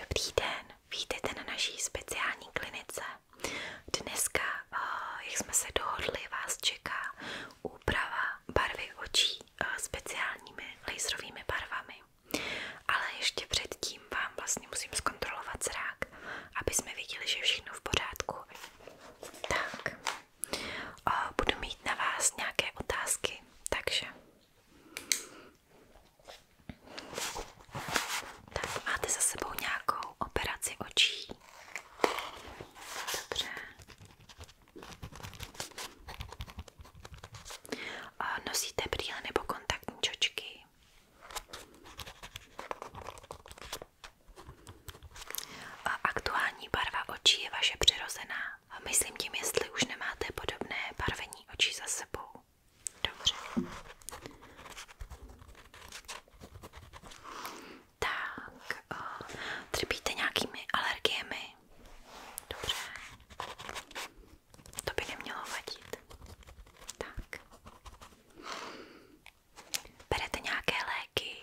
Dobrý den, vítejte na naší speciální klinice. Dneska, eh, jak jsme se dohodli, vás čeká úprava barvy očí eh, speciálními laserovými barvami. Ale ještě předtím vám vlastně musím zkontrolovat zrak tak, aby jsme viděli, že je všechno v pořádku. Tak, o, budu mít na vás nějaké otázky, takže... Tak, máte za sebou nějakou operaci očí? Dobře. Nosíte brýle nebo kontaktní čočky? Aktuální barva očí je vaše přirozená. Myslím tím, jestli už nemáte podobné barvení očí za sebou. Dobře. Tak, eh, trpíte nějakými alergiemi? Dobře. To by nemělo vadit. Tak. Berete nějaké léky?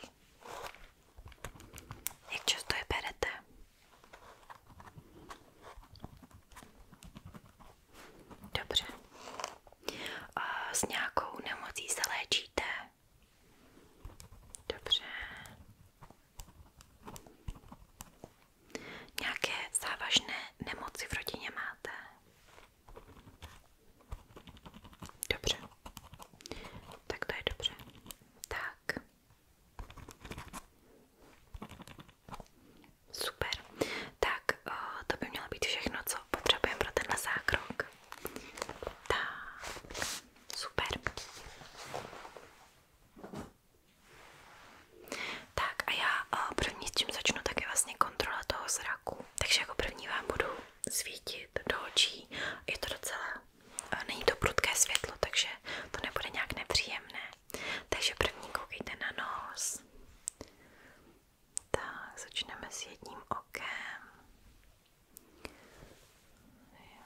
Jak často je berete? Dobře. A s nějakou nemocí se léčíte? Dobře. Nějaké závažné nemoci v rodině máte? Dobře, tak to je dobře. Tak. Super. Tak, o, eh, to by mělo být všechno, co potřebujeme pro tenhle zákrok. Tak, super. Tak a já o, eh, první s čím začnu, tak je vlastně kontrola toho zraku. Takže jako první vám budu svítit do očí. Je to docela, eh, není to prudké světlo, takže to nebude nějak nepříjemné. Takže první koukejte na nos. Tak, začneme s jedním okem. Jo,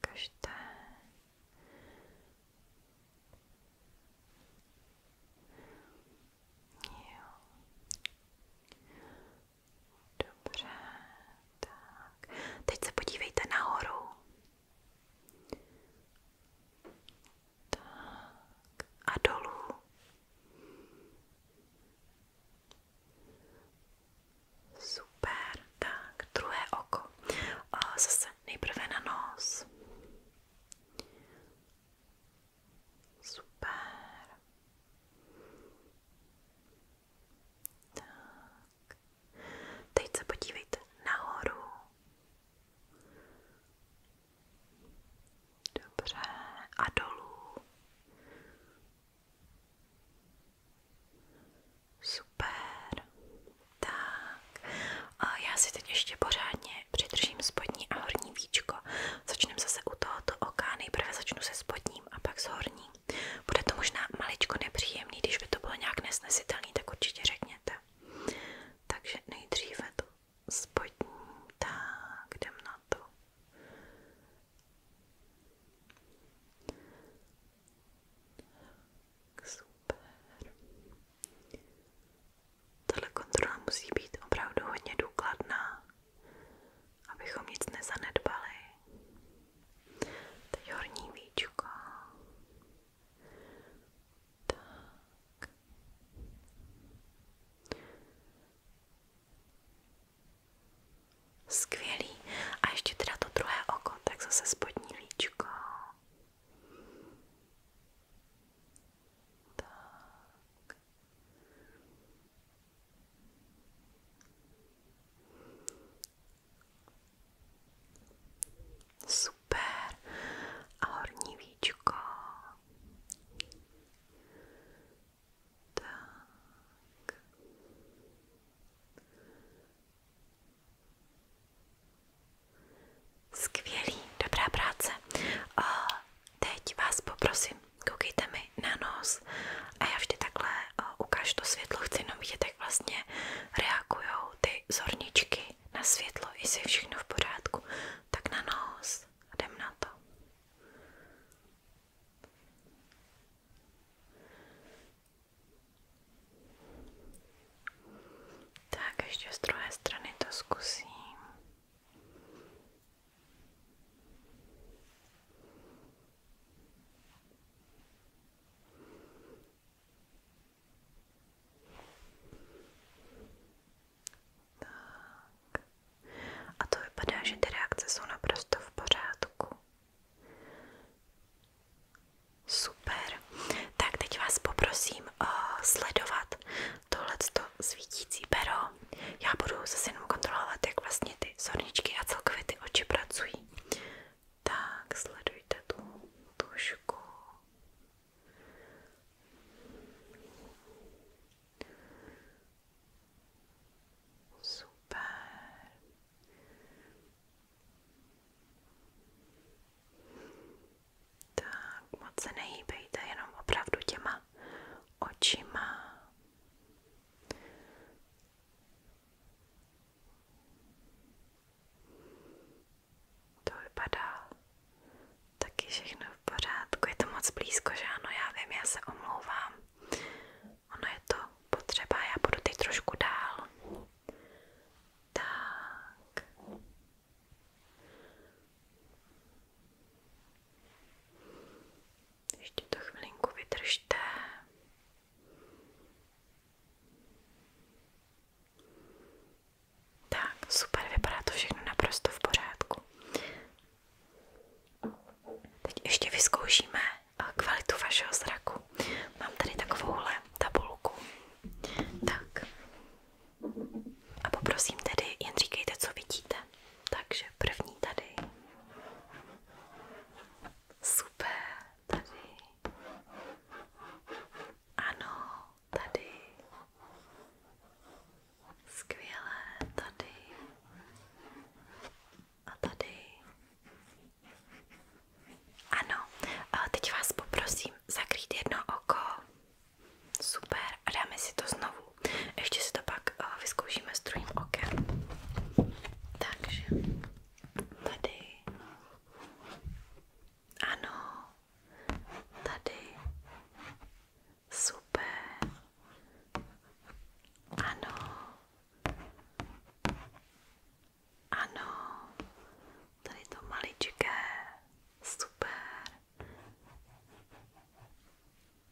každé. Jo. Dobře, tak. Teď se podívejte nahoru. Tak. A dolů. Super, tak druhé oko. A zase nejprve na nos. Super. Tak. Teď se podívejte nahoru. Dobře. A dolů. Super. Tak. A já si teď ještě pořádně přidržím spodní a horní víčko, Začneme zase u tohoto oka, nejprve začnu se spodním a pak s horní. Bude to možná maličko nepříjemný, když by to bylo nějak nesnesitelný, tak určitě řekněte. Takže nejdříve to spodní, tak jdem na to. Tak super. Tato kontrola musí být opravdu hodně důkladná, abychom nic nezanedbali. Teď horní víčko. Tak. Skvělý. A ještě teda to druhé oko, tak zase spodní líčko. Tak. Super. A horní víčko. Tak. Skvělý, dobrá práce. A Teď vás poprosím, koukejte mi na nos a já vždy takhle ukážu to světlo, chci jenom vidět, jak vlastně reagují ty zorničky na světlo, jestli je všechno v pořádku. Tak na nos a jdem na to. Tak ještě z druhé strany to zkusím. Tak. A to vypadá, že ty reakce jsou naprosto v pořádku. Super. Tak teď vás poprosím o eh, sledovat tohleto svítící pero. Já budu zase jenom kontrolovat, jak vlastně ty zorničky a celkově ty oči pracují. Tak, sledujte tu tušku. Super. Tak, moc se nehýbejte, jenom opravdu těma očima. To vypadá taky všechno v pořádku. Je to moc blízko, že ano, já vím, já se omlouvám. Ono je to potřeba, já budu teď trošku dál. Tak. Ještě to chvilinku vydržte. Tak, super, vypadá to všechno naprosto v pořádku. Teď ještě vyzkoušíme eh, kvalitu vašeho zraku. Mám tady takovouhle tabulku. Tak, a poprosím tedy, jen říkejte, co vidíte. Takže první tady. Super, tady. Ano, tady. Skvělé, tady. A tady. Ano, a teď vás poprosím zakrýt jedno oko. Super, a dáme si to znovu. Ještě si to pak uh, vyzkoušíme s druhým okem. Takže tady. Ano, tady. Super. Ano. Ano. Tady to maličké. Super.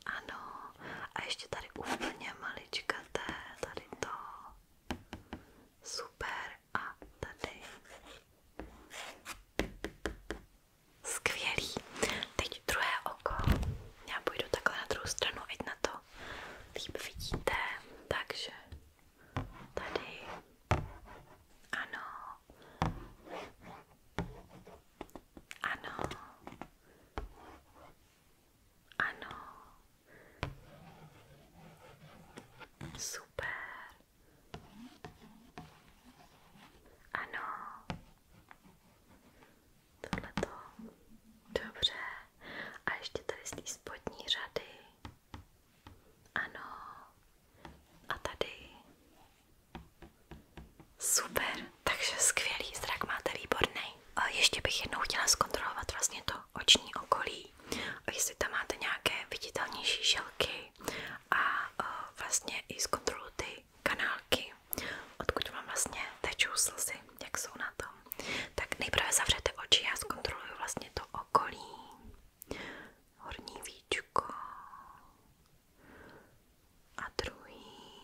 Ano, a ještě tady úplně maličkaté, tady to. Super, a tady. Skvělý. Teď druhé oko. Já půjdu takhle na druhou stranu, ať na to líp vidíte. Takže tady. Ano. Ano. Ano. Super. Ano. Tohle to. Dobře. A ještě tady z té spodní řady. Ano. A tady. Super, takže skvělý, zrak máte výborný. A ještě bych jednou chtěla zkontrolovat vlastně to oční okolí, A jestli tam máte nějaké viditelnější žilky a e, vlastně i zkontroluji ty kanálky, odkud vám vlastně tečou slzy, jak jsou na tom. Tak nejprve zavřete oči, a zkontroluji vlastně to okolí, horní a druhý.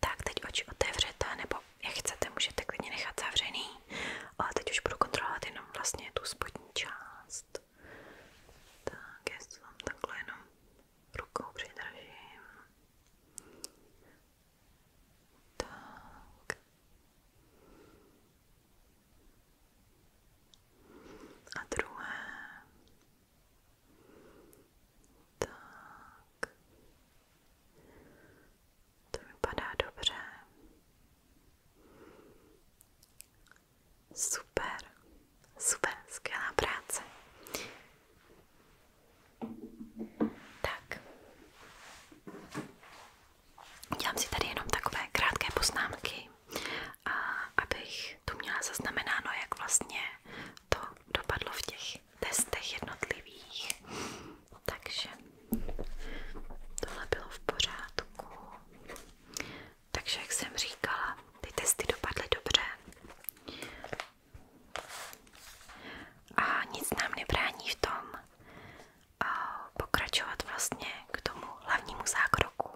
Tak, teď oči otevřete, nebo jak chcete, můžete klidně nechat zavřený, ale teď už budu kontrolovat jenom vlastně tu spodní část. Tak, já to tam takhle jenom rukou přidržím. Tak. A druhé. Tak. To vypadá dobře. Super, super, skvělá práce. Tak. Dělám si tady jenom takové krátké poznámky, a abych tu měla zaznamenáno, jak vlastně to dopadlo v těch testech jednotlivých. Takže tohle bylo v pořádku. Takže jak jsem říkala, ty testy dopadly dobře. A nic nám nebrání v tom, pokračovat vlastně k tomu hlavnímu zákroku,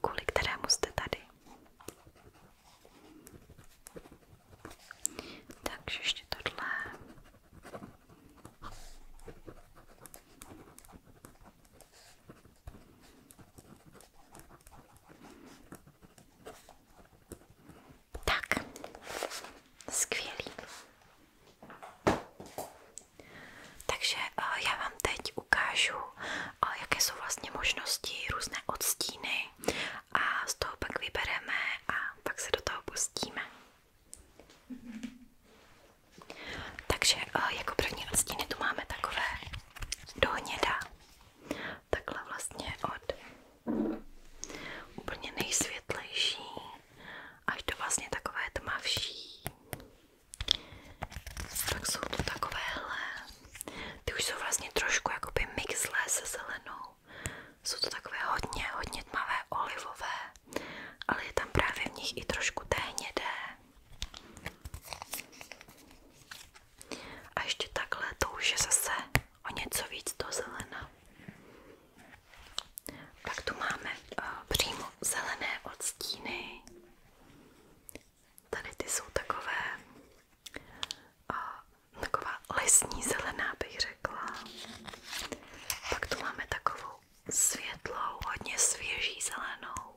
kvůli kterému jste tady. Takže ještě tohle. Tak, skvělý. Takže eh, já vám teď ukážu, eh, jaké jsou vlastně možnosti, různé odstíny a z toho pak vybereme a pak se do toho pustíme. Takže eh, jako první odstíny tu máme takové do hněda. Takhle vlastně od úplně nejsvětlejší až do vlastně takové tmavší. Tak jsou to takovéhle. Ty už jsou vlastně trošku jakoby mixlé se zelenou. Jsou to takové hodně, hodně tmavé olivové, ale je tam právě v nich i trošku té hnědé. A ještě takhle to už je zase o něco víc do zelena. Pak tu máme eh, přímo zelené odstíny. Tady ty jsou takové, eh, taková lesní zelená bych řekla. Pak tu máme takovou světlou, hodně svěží zelenou.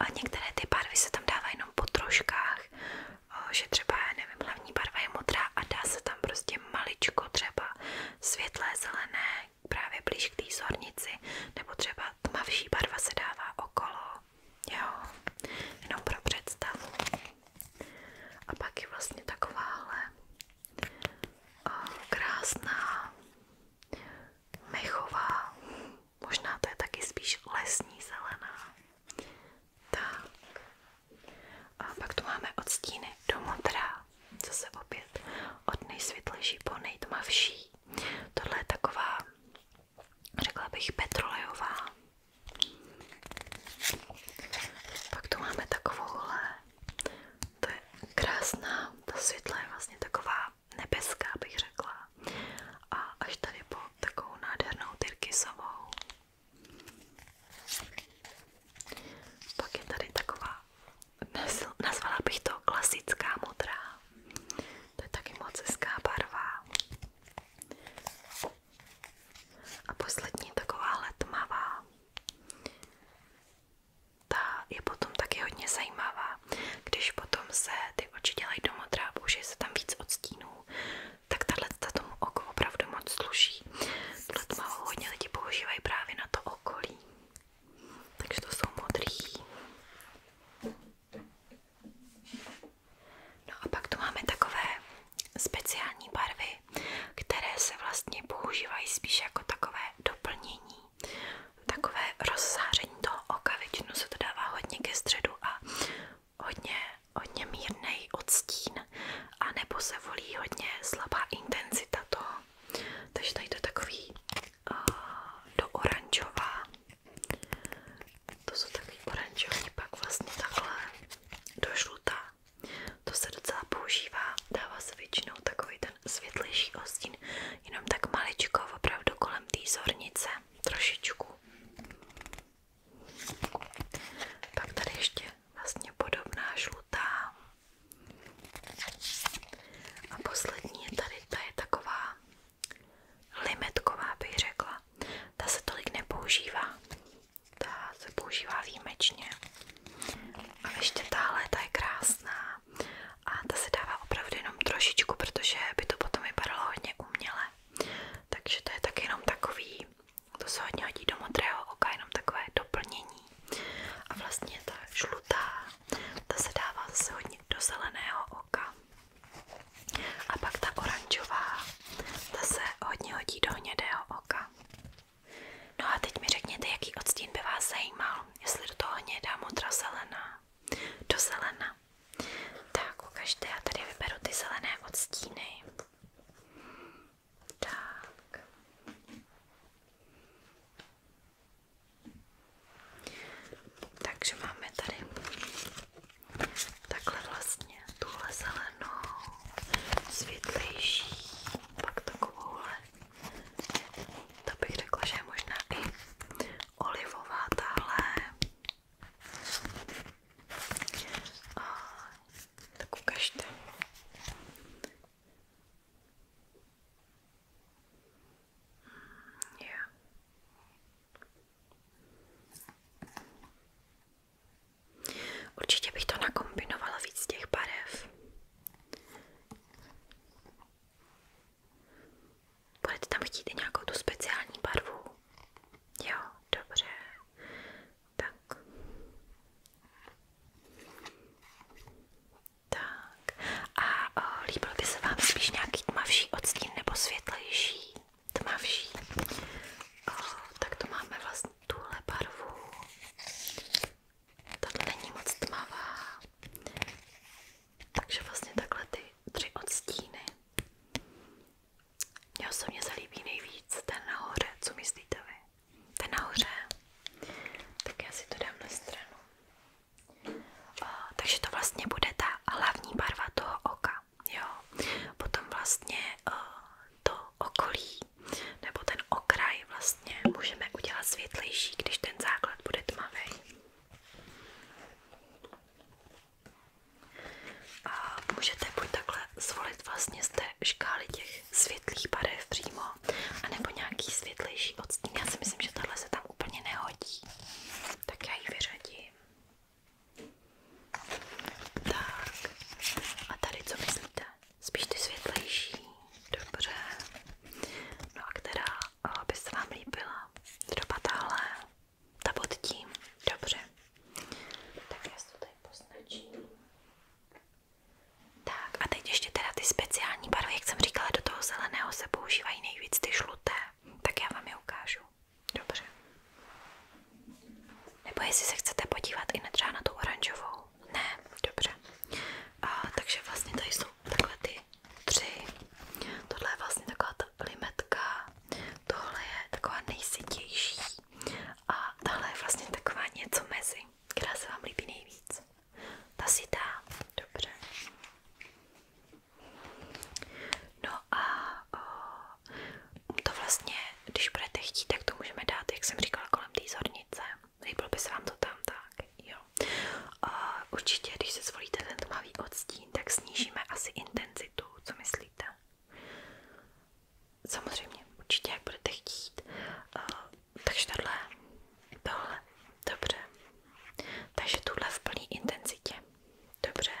A některé ty barvy se tam dávají jenom po troškách, eh, že třeba, nevím, hlavní barva modrá a dá se tam prostě maličko třeba světlé zelené právě blíž k nebo třeba tmavší barva se dává okolo, jo, jenom pro představu. A pak je vlastně takováhle eh, krásná mechová, možná to je taky spíš lesní zelená. Tak. A pak tu máme odstíny do modra, Zase opět od nejsvětlejší po nejtmavší. Tohle je taková, řekla bych, petrolejová. Pak tu máme takovouhle. To je krásná, ta světla je vlastně taková nebeská, bych řekla. A až tady po takovou nádhernou tyrkysovou. Pak je tady taková nazvala bych to klasická modrá. To je taky moc hezká barva. A poslední takováhle tmavá. Ta je potom taky hodně zajímavá. Když potom se ty oči dělají do modrá, použije se tam víc odstínů, tak tahle tomu oku opravdu moc sluší. Tuhle tmavou hodně lidi používají právě na to okolí takže to jsou modrý. No a pak tu máme takové speciální barvy, které se vlastně používají spíš jako takové doplnění, takové rozsáření toho oka, většinou se to dává hodně ke středu a hodně, hodně mírnej odstín a nebo se volí hodně slabá intenzita toho. Takže tady to je takový do oranžová. To jsou takový oranžový, pak vlastně takhle do žlutá. To se docela používá, dává se většinou takový ten světlejší ostín, jenom tak maličko, opravdu kolem té zornice, trošičku. Pak tady ještě vlastně podobná žlutá, a poslední je tady, ta je taková limetková, bych řekla. Ta se tolik nepoužívá. Ta se používá výjimečně. A ještě tahle, ta je krásná. A ta se dává opravdu jenom trošičku, protože by to potom vypadalo hodně uměle. Takže to je tak jenom takový, to se hodně hodí do modrého oka, jenom takové doplnění zelený. A vlastně ta žlutá, ta se dává zase hodně do zeleného oka. A pak ta oranžová, ta se hodně hodí do hnědého oka. No a teď mi řekněte, jaký odstín by vás zajímal, jestli do toho hnědá, modra, zelená. Do zelena. Tak, ukažte, já tady vyberu ty zelené odstíny. Tak. Takže máme tady takhle vlastně tuhle zelenou, světlejší, pak takovouhle. To bych řekla, že je možná i olivová tahle. A, tak ukažte. Yeah. Určitě bych to nakombinovala víc těch barev. Budete tam chtít i nějakou tu speciální barvu? Jo, dobře. Tak. Tak. A o, líbil by se vám spíš nějaký tmavší odstín nebo světlejší? Tmavší. O, tak to máme vlastně tuhle barvu. Tato není moc tmavá. Takže vlastně takhle ty tři odstíny. Mně osobně se líbí nejvíc ten nahoře. Co myslíte vy? Ten nahoře. Tak já si to dám na stranu takže to vlastně bude ta hlavní barva toho oka. Jo. Potom vlastně eh, to okolí nebo ten okraj vlastně můžeme udělat světlejší, když ten základ bude tmavý. A můžete buď takhle zvolit vlastně z té škály těch světlých barev přímo, no, anebo nějaký světlejší odstín, já si myslím, že tahle se tam úplně nehodí, tak já ji vyřadím. Tak, a tady co myslíte? Spíš ty světlejší, dobře, no a která eh, by se vám líbila? Třeba tahle, ta pod tím, dobře, tak já si to tady poznačím. Tak a teď ještě teda ty speciální barvy, jak jsem říkala, do toho zeleného se používají nejvíc ty žluté. Tak já vám je ukážu. Dobře. Nebo jestli se chcete podívat i třeba na tu oranžovou. Ne, dobře. A, takže vlastně tady jsou takhle ty tři. Tohle je vlastně taková ta limetka. Tohle je taková nejsytější. A tahle je vlastně taková něco mezi, která se vám líbí nejvíc. Ta si dá, dobře. No a o, to vlastně, když budete chtít, tak to můžeme dát, jak jsem říkala, kolem té zornice. Líbilo by se vám to tam tak, jo. A určitě, když se zvolíte ten tmavý odstín, tak snížíme asi intenzitu, co myslíte? Samozřejmě, určitě, jak budete chtít. A takže tohle, tohle, dobře. Takže tuhle v plné intenzitě, dobře.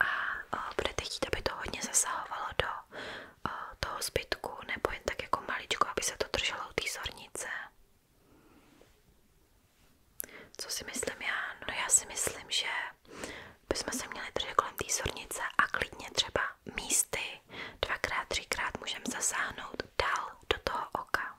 A o, budete chtít, aby to hodně zasahovalo do o, toho zbytku, nebo jen tak jako maličko, aby se to drželo u té zornice. Co si myslím já? No já si myslím, že bychom se měli držet kolem té zornice a klidně třeba místy dvakrát, třikrát můžeme zasáhnout dál do toho oka.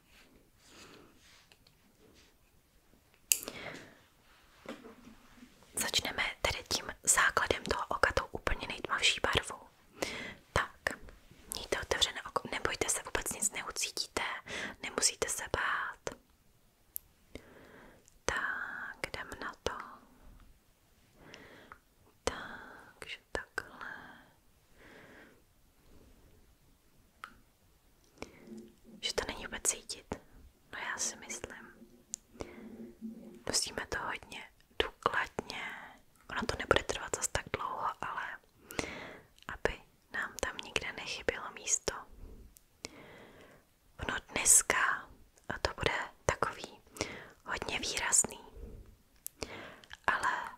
Začneme tedy tím základem toho oka, tou úplně nejtmavší barvou. Tak, mějte otevřené oko, nebojte se, vůbec nic neucítíte, nemusíte se bát. Tak, jdem na to. Takže takhle. Že to není vůbec cítit. No já si myslím. Musíme to hodně důkladně. Ono to nebude trvat zas tak dlouho, ale aby nám tam nikde nechybělo místo. No dneska to bude takový hodně výrazný, ale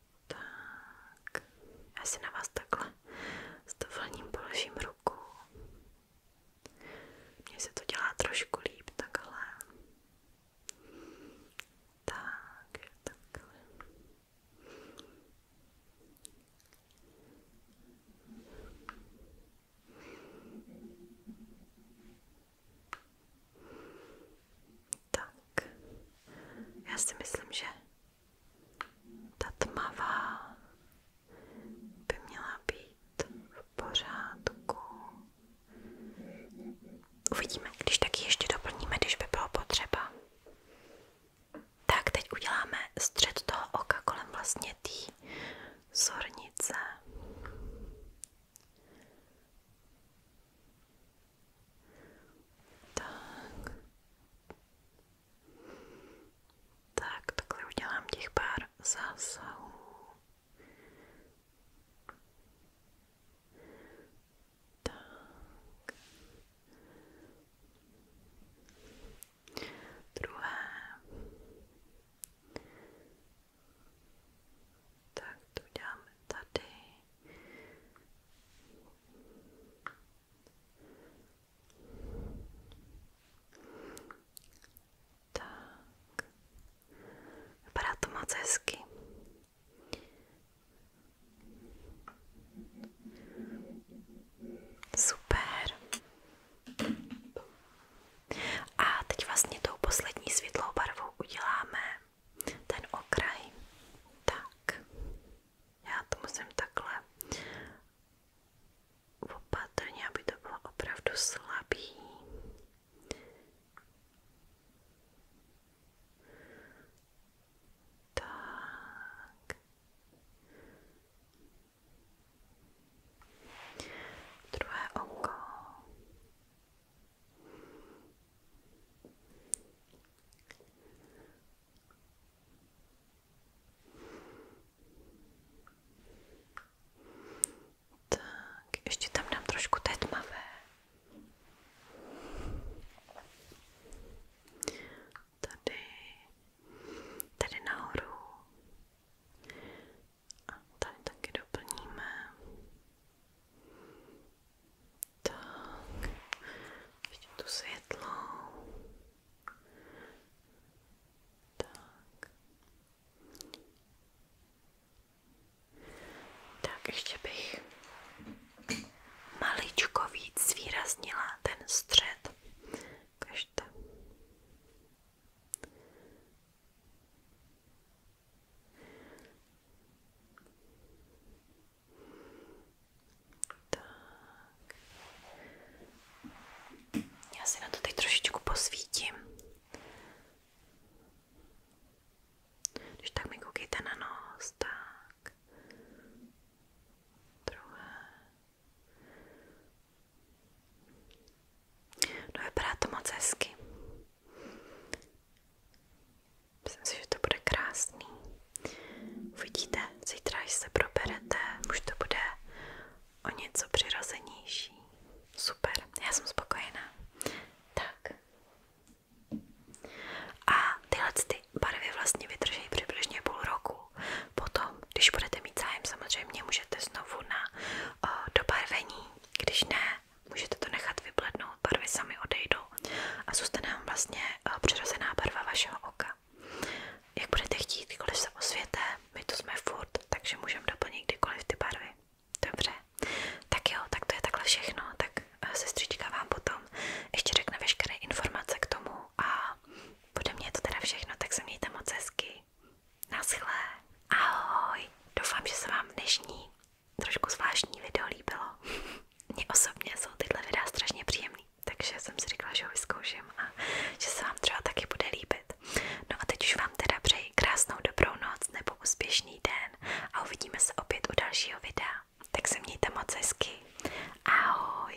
Tak, já si na vás takhle s dovolením položím ruku. Mně se to dělá trošku líp takhle. Tak, takhle. Tak. Já si myslím, že ta tmavá by měla být v pořádku. Uvidíme, když taky ještě doplníme, když by bylo potřeba. Tak, teď uděláme střed toho oka kolem vlastně té zornice. Tak. Tak, takhle udělám těch pár zásahů. Tak. Druhé. Tak to uděláme tady. Tak. Vypadá to moc hezky. Super. A teď vlastně tou poslední světlou barvou uděláme ten okraj. Tak. Já to musím takhle opatrně, aby to bylo opravdu slabý. Tak. Druhé oko. Tak, ještě tam dám trošku té tmavé. Tady, tady nahoru. A tady taky doplníme. Tak, ještě tu světlou. Tak. Tak ještě bych maličko víc zvýraznila ten střed. Ukažte. Tak. Já si na to teď trošičku posvítím. Když tak mi koukejte na nos, tak. Druhé. No vypadá to moc hezky. Myslím že to bude krásný. Uvidíte, zítra, až se proberete, už to bude o něco přirozenější. Super, já jsem spokojená. Tak. A tyhle ty barvy vlastně vydrží přibližně půl roku. Potom, když budete mít zájem, samozřejmě můžete znovu na dobarvení. Když ne, můžete to nechat vyblednout, barvy sami odejdou a zůstane vám vlastně přirozená barva vašeho oka. Jak budete chtít, kdykoliv se my tu jsme furt, takže můžeme doplnit kdykoliv ty barvy. Dobře, tak jo, tak to je takhle všechno, tak eh, sestřička vám potom ještě řekne veškeré informace k tomu a bude mě to teda všechno, tak se mějte moc hezky. Naschle, ahoj, doufám, že se vám dnešní trošku zvláštní video líbilo mně osobně jsou tyhle videa strašně příjemný, takže jsem si říkala, že ho vyzkouším a že se vám třeba taky bude líbit. No a teď už vám teda přeji krásnou dobrou noc nebo úspěšný den a uvidíme se opět u dalšího videa. Tak se mějte moc hezky. Ahoj!